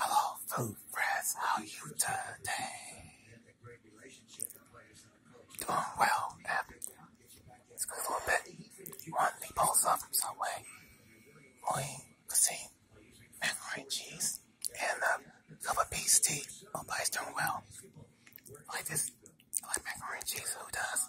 Hello, food friends. How are you today? Doing well. It's good for a bit. You want the both up some way? Only cuisine, macaroni and cheese, and a cup of beef tea. My body's doing well. like this. like macaroni and cheese. Who does?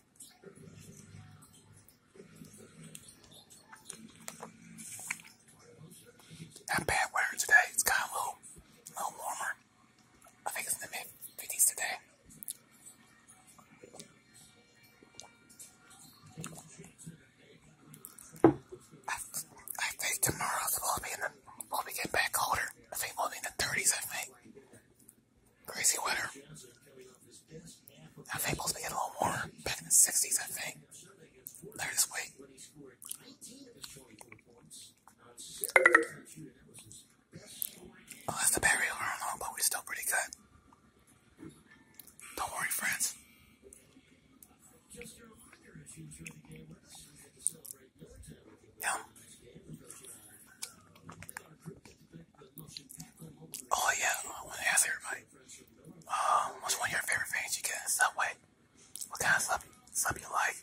Not bad weather today. It's kind of a little, warmer. I think it's in the mid 50s today. I, I think tomorrow's will be in the will be getting back colder. I think we'll be in the 30s. I think Crazy weather. Now Fables began a little more back in the 60s, I think. Later this week. Unless oh, the battery alarm on, but we're still pretty good. Don't worry, friends. Oh, yeah. Oh yeah, I want to ask everybody. Um, what's one of your favorite things you get in Subway? What kind of sub sub you like?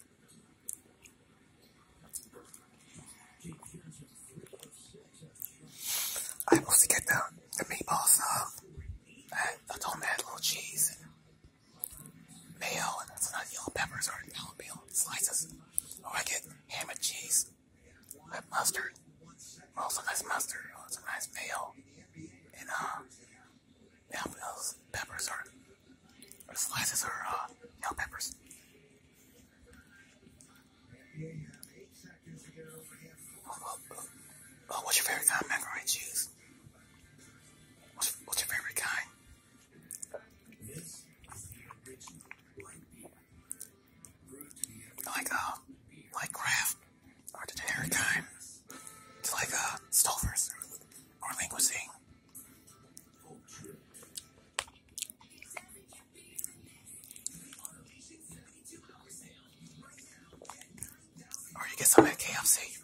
I supposed to get the the meatball sub. I, I told them to add a little cheese and mayo and some nice yellow peppers or jalapeno slices, or I get ham and cheese with mustard. Also nice mustard, also nice mayo, and uh, yeah, peppers are, or slices or uh, no peppers. Oh, what's your favorite kind of macaroni and cheese? What's, what's your favorite kind? Like uh, like Kraft or the Harry It's like uh, Stouffer's or Linguisine. Or you get some at KFC.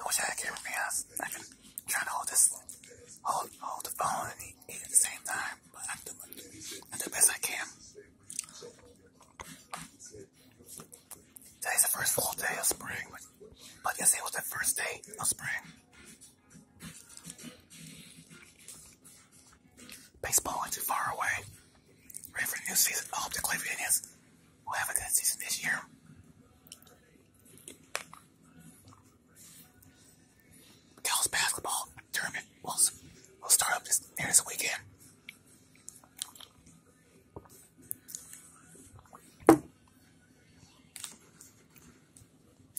I wish I had a camera because I can try to hold this, hold, hold the phone and eat, at the same time, but I'm doing the best I can. Today's the first full day of spring, but yesterday was the first day of spring. Baseball isn't too far away. Ready for the new season. I hope the Cleveland Indians will have a good season this year. Cal's basketball tournament will, will start up this, near this weekend.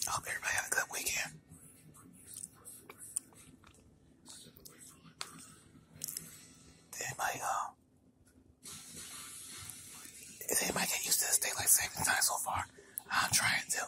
I hope everybody had a good weekend. Did anybody, uh, did get used to this daylight saving time so far? I'm trying to.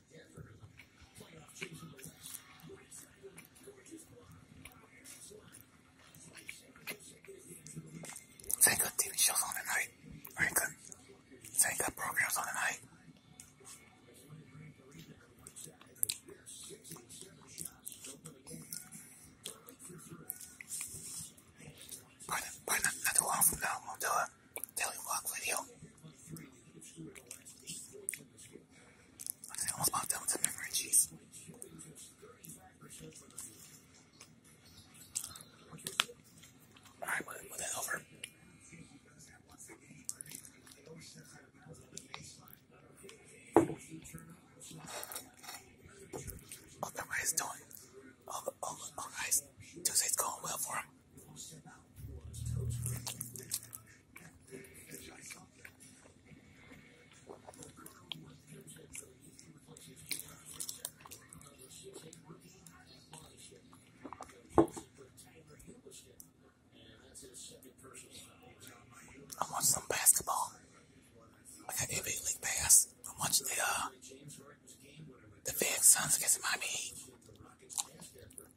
They got TV shows on tonight. Or they got, they got programs on tonight. Probably not, not too long from now, won't do they walk with you. I almost popped out with some memory Alright, move that over. Hope everybody's doing. Hope, hope, hope guys, Tuesday's going well for him. I want some basketball. I got NBA League Pass. I watch the uh the Phoenix Suns against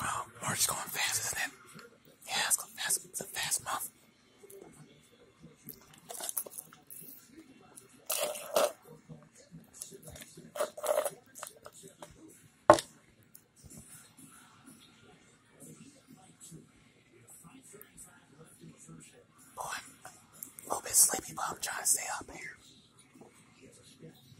Wow, um, March is going fast, isn't it? Yeah, it's going fast. It's a fast month. Boy, a little bit sleepy, but trying to stay up here.